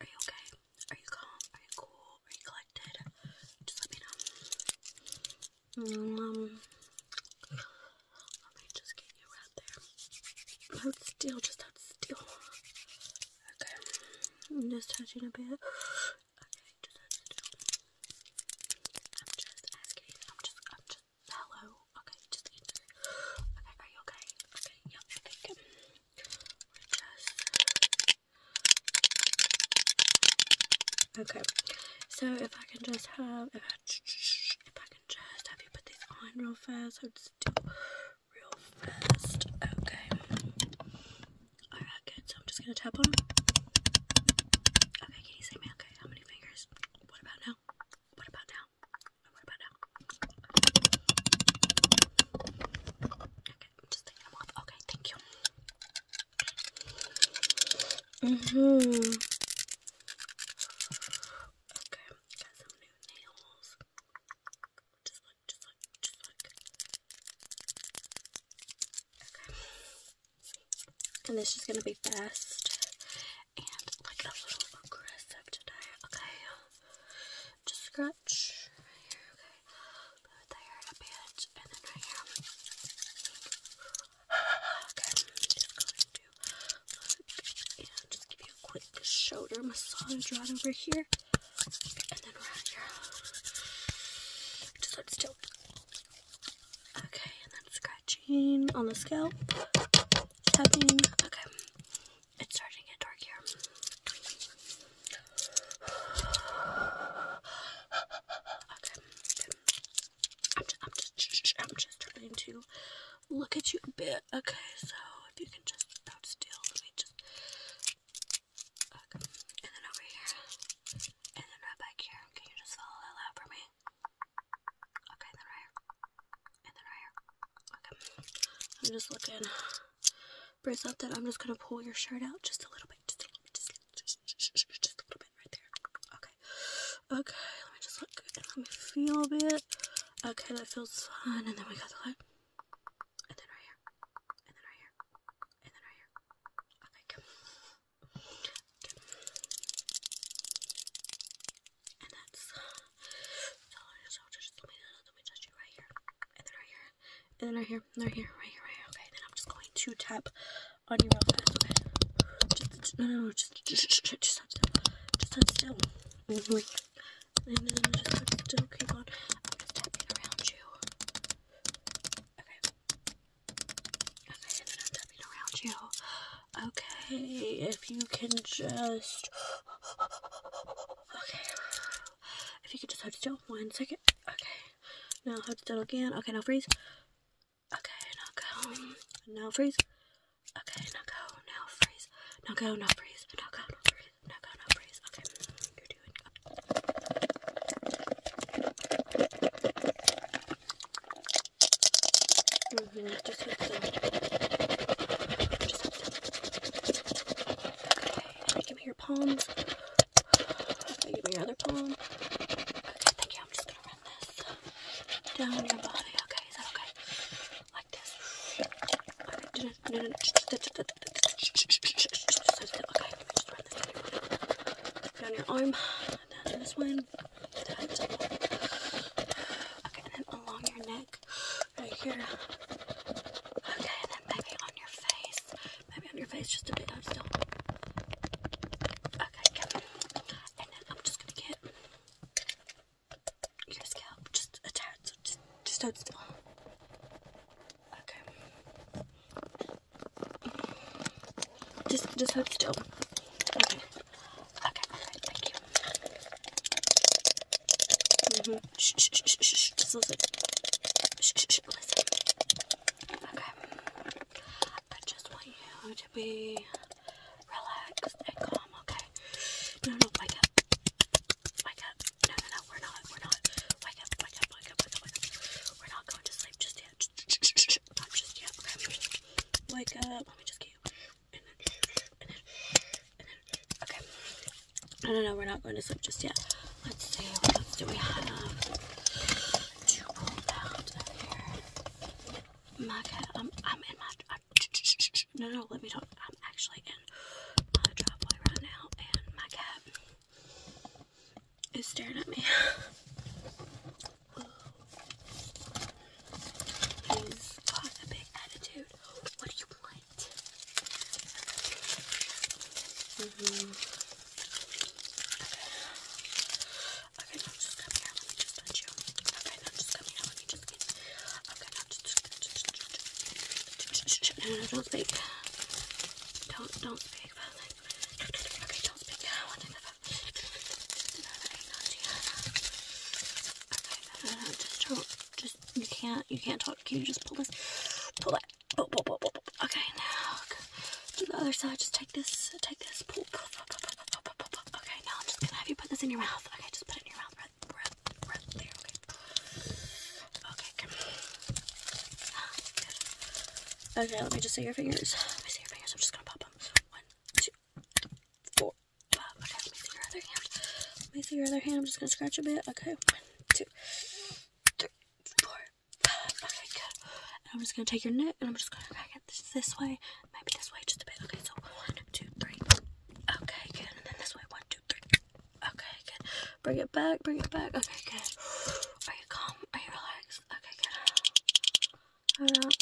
Are you okay? Are you calm? Are you cool? Are you collected? Just let me know. Um, let me just get you right there. Hold still, just hold still. Okay, I'm just touching a bit. Okay, just hold still. I'm just asking. I'm just. I'm just. Hello. Okay, just Okay, okay? Okay, yep, okay, Okay, so if I can just have... If I, can just have you put these on real fast. I'll just do real fast. Okay. Alright, good. So I'm just going to tap on Okay, can you say me? Okay, how many fingers? What about now? What about now? And Okay, just taking off. Okay, thank you. hmm. Okay, got some new nails. Just like, just like, just like. Okay. And this is gonna be fast and like a little aggressive today, okay? Just scratch right here, okay? Put there a bit, and then I'm just give you a quick shoulder massage right over here, and then right here. Just let it still. Okay, and then scratch on the scalp. Tapping. Okay. It's starting to get dark here. Okay. I'm just, trying to look at you a bit. Okay, so if you can just not still, me just. Okay. And then over here. And then right back here. Can you just follow that for me? Okay, then right here and then right here. Okay. I'm just looking. For something, I'm just gonna pull your shirt out just a little bit. Just a little bit. Just, a little bit right there. Okay. Okay. Let me just look. And let me feel a bit. Okay, that feels fun. And then we got the light. And then right here. And then right here. And then right here. Okay, come. And that's so so just let me know let me touch you right here. And then right here. And then right here. And right here. Right here, right here. Okay, then I'm just going to tap on you real fast, okay? Just no no no just just just, just, just touch still. Just touch still. Mm -hmm. And then I'm just going to keep on I'm just tapping around you. Okay. Okay, and then I'm tapping around you. Okay, if you can just. Okay. If you could just hold still one second. Okay. Now hold still again. Okay, now freeze. Okay, now go. Now freeze. Okay, now go. Now freeze. Now go, now freeze. Now go, now freeze. Now go, now freeze. Okay. You're doing. Mm -hmm. Just with the, just with the. Okay, give me your palms. Okay, give me your other palm. Okay, thank you. I'm just gonna run this down your body. Okay, is that okay? Like this. Okay, no, no, no. Okay, just run this down your body. Down your arm. Down this one. Okay, and then along your neck, right here. Okay, and then maybe on your face. Maybe on your face just a bit. I'm still. Okay, And then I'm just gonna get your scalp just a tad, so just, just hold still. Okay. Just, just hold still. Okay. Okay. Thank you. -hmm. Shh, shh, shh, shh, Just listen. Shh, shh, shh. Listen. Okay. I just want you to be relaxed and calm. Okay. No, no. Wake up. Wake up. No, no, no. We're not. We're not. Wake up. Wake up. Wake up. Wake up. We're not going to sleep just yet. Shh, shh, shh, shh much, not just yet. Okay, wake up. Let me just get you. And then, and then, and we're not going to sleep just yet. Let's see, what else do we have to pull out here? My cat, i I'm in my, no, no, let me talk. I'm actually in my driveway right now, and my cat is staring at me. He's got a big attitude. What do you want? Okay. Okay, now just come here. Let me just touch you. Okay, now just come here. Let me just get. Okay, now just. just, just, just, just, just, just, just, just, think about like, okay, don't speak now. I think about, okay, no, no, no, just don't, just, you can't, you can't talk. Can you just pull this, pull that, pull, pull, pull, pull, pull. Okay, now, do the other side. Just take this, take this, pull, pull, pull, pull, pull, pull, pull, pull, pull. Okay, now I'm just gonna have you put this in your mouth. Okay, just put it in your mouth. Right, right, right there. Okay. Okay, come. Okay, let me just see your fingers. Let me see your fingers. I'm just gonna pop them. One, two, four. Okay, let me see your other hand. Let me see your other hand. I'm just gonna scratch a bit. Okay, one, two, three, four, five. Okay, good. And I'm just gonna take your neck and I'm just gonna crack it this, this way, maybe this way just a bit. Okay, so one, two, three. Okay, good. And then this way, one, two, three. Okay, good. Bring it back, bring it back. Okay, good. Are you calm? Are you relaxed? Okay, good. Hold up.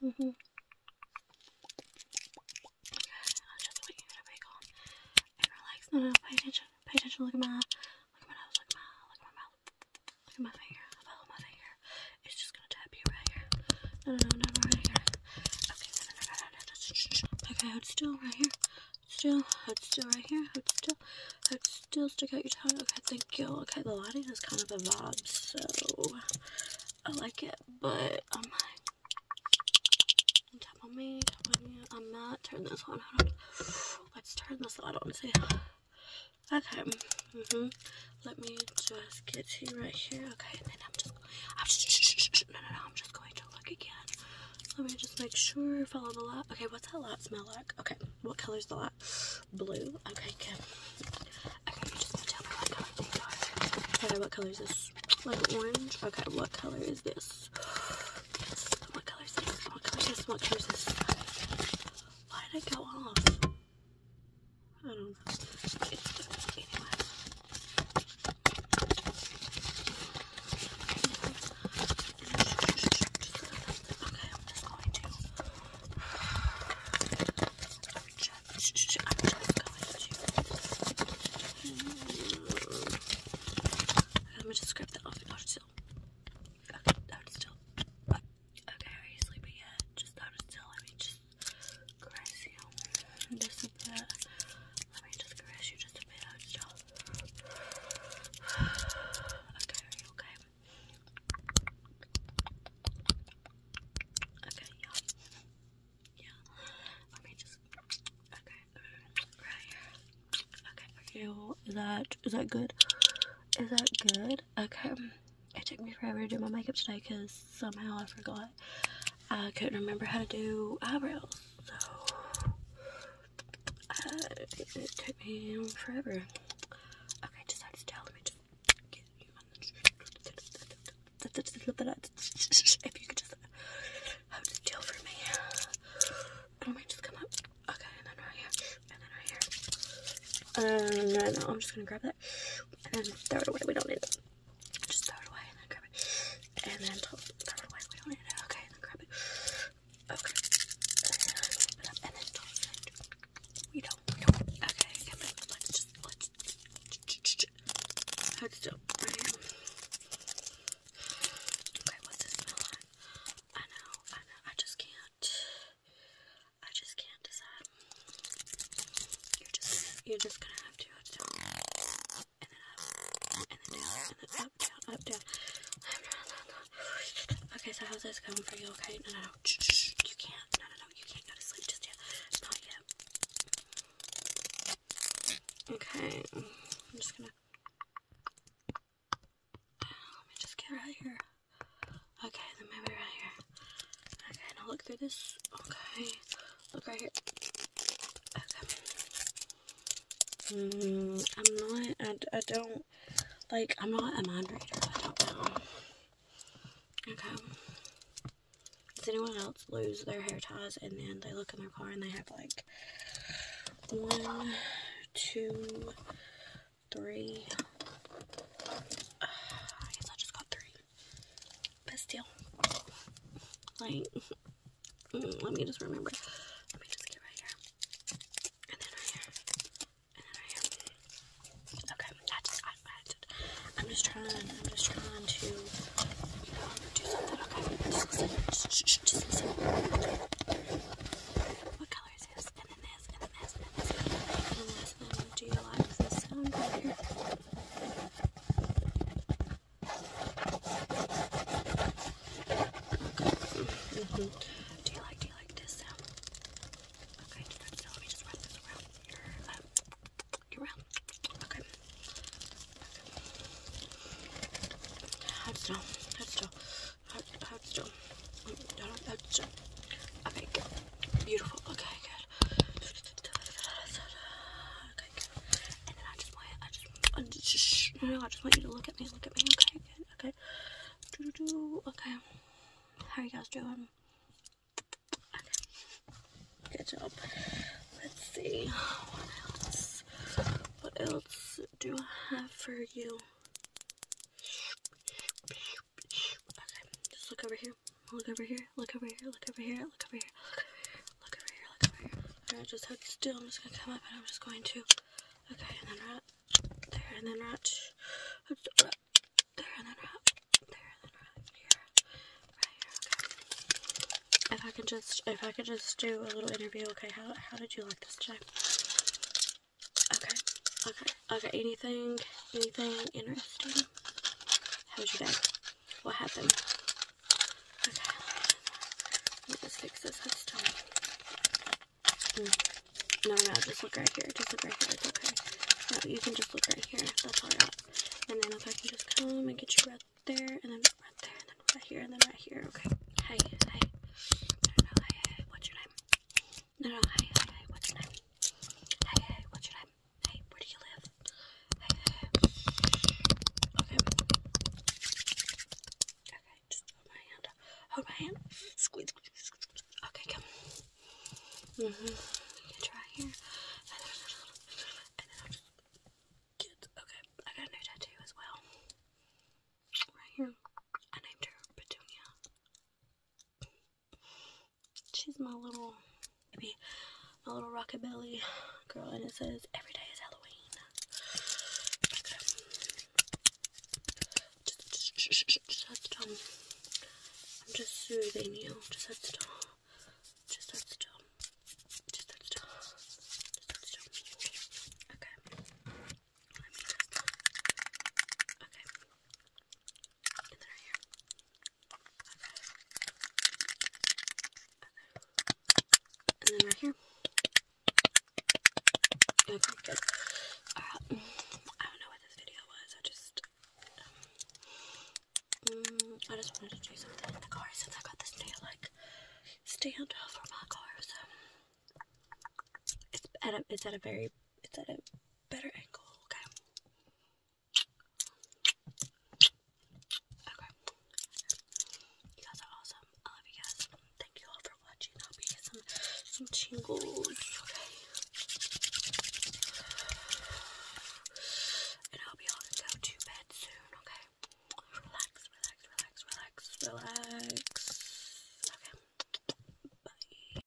hmm Okay, I just want you be calm and relaxed. No, no, pay attention. Pay attention. Look at my, look at my Look at my, look at my mouth. Look at my finger. Follow my finger. It's just gonna tap you right here. No, no, no, right here. Okay, no, Okay, hold still right here still, head still right here, head still, head still, stick out your tongue. Okay, thank you. Okay, the lighting is kind of a vibe, so I like it, but I'm um, like, tap on me, tap on you. I'm not, turn this on. Let's turn this light on, see. Okay, mm hmm let me just get you right here. Okay, and then I'm just, I'm just, no, no, no, I'm just going to look again. Let me just make sure. Follow the light. Okay, what's that light smell like? Okay, what color's the light? Blue. Okay, good. Okay, you just gonna tell me what color these are. Okay, what color is this? Like orange. Okay, what color is this? Yes. What color is this? What color is this? What color is this? Why did it go off? I don't know. It's anyway. Okay, I'm just going to. I'm just going to. I'm going to scrape that off and hold it still. Hold it still. Okay, are you sleeping yet? Just hold it still. Let me just caress you. Just a bit. Let me just caress you just a bit. Okay, are you okay? Okay, yeah. Yeah. Let me just Okay. Right here. Okay, are you is that is that good? Is that good? Okay. It took me forever to do my makeup today because somehow I forgot. I couldn't remember how to do eyebrows. So uh, it, it took me forever. Okay, just have to tell me to get you on the If you could just hold the deal for me. And I then um, I'm just gonna grab that. And throw it away. We don't need it. Just throw it away and grab it. And then throw it away. We don't need it. Okay and then grab it. Okay. And then open it up and then toss it. We don't, we don't. Okay, come on. Let's just, let's. Hold still, right? Okay, what's this smell like? I know, I know. I just can't. I just can't decide. You're just, you're just gonna have to. Have to Okay, so how's this going for you? Okay, no, no, no, you can't. No, no, no, you can't go to sleep just yet. Not yet. Okay, I'm just gonna. Let me just get right here. Okay, then maybe right here. Okay, now look through this. Okay. Look right here. Okay. Mm, I'm not, I, I don't, like, I'm not a mind reader. I don't know. Okay. Does anyone else lose their hair ties and then they look in their car and they have like one, two, three. Uh, I guess I just got three. Best deal. like, mm, let me just remember. Let me just get right here, and then right here, and then right here. Okay, I am just trying, I'm just trying to, do something. Okay, What color is this? And then this, and then this, and then this, and then this. do you like this sound right here? Do you like do you like this Okay, let me just wrap this around your um, your round. Okay. Hold still, hold still, hold, hold still. Don't hold still. Okay, Beautiful. Okay, good. And then I just want, I just, I just, want you to look at me, look at me, okay, good, okay. Do do do. Okay, how are you guys doing? good job. Let's see what else. What else do I have for you? Okay, just look over here time. Look over here, look over here, look over here, look over here, look over here, look over here, look over here. Alright, just hug still. I'm just gonna come up and I'm just going to. Okay, and then right there, and then right there, and then right there, and then right here, right here. Okay. If I could just, if I could just do a little interview. Okay, how how did you like this time? Okay, okay, okay. Anything, anything interesting? How was your day? what happened. Okay. Let us fix this headstone. Mm. No, no, just look right here. Just look right here. okay. No, you can just look right here. That's far And then if I can just come and get you right there, and then right there, and then right here, and then right here. Okay. Hi, hi. No, no, hi, hi. What's your name? No, no, hi, hi, What's your name? Hi, hi. What's your name? Hey, where do you live? Okay. Okay, just hold my hand. Hold my hand. Squeeze, Okay, come. hmm. try here. Okay, I got a new tattoo as well. Right here. I named her Petunia. She's my little baby, my little rockabilly girl, and it says every day is Halloween. Just, just, just, just have to I'm just soothing you. Just have to Just have to Just have to Just have to Okay. Let me just. Okay. And then right here. And then right here. Okay, good. Alright, I don't know what this video was. I just, um, I just wanted to do something in the car since I got this new, like, stand for my car. So, it's at a, it's at a very, it's at a better angle, okay? Okay. You guys are awesome. I love you guys. Thank you all for watching. I hope you get some some tingles. Okay. And I hope you all go to bed soon, okay? Relax, relax, relax, relax, relax. Okay. Bye.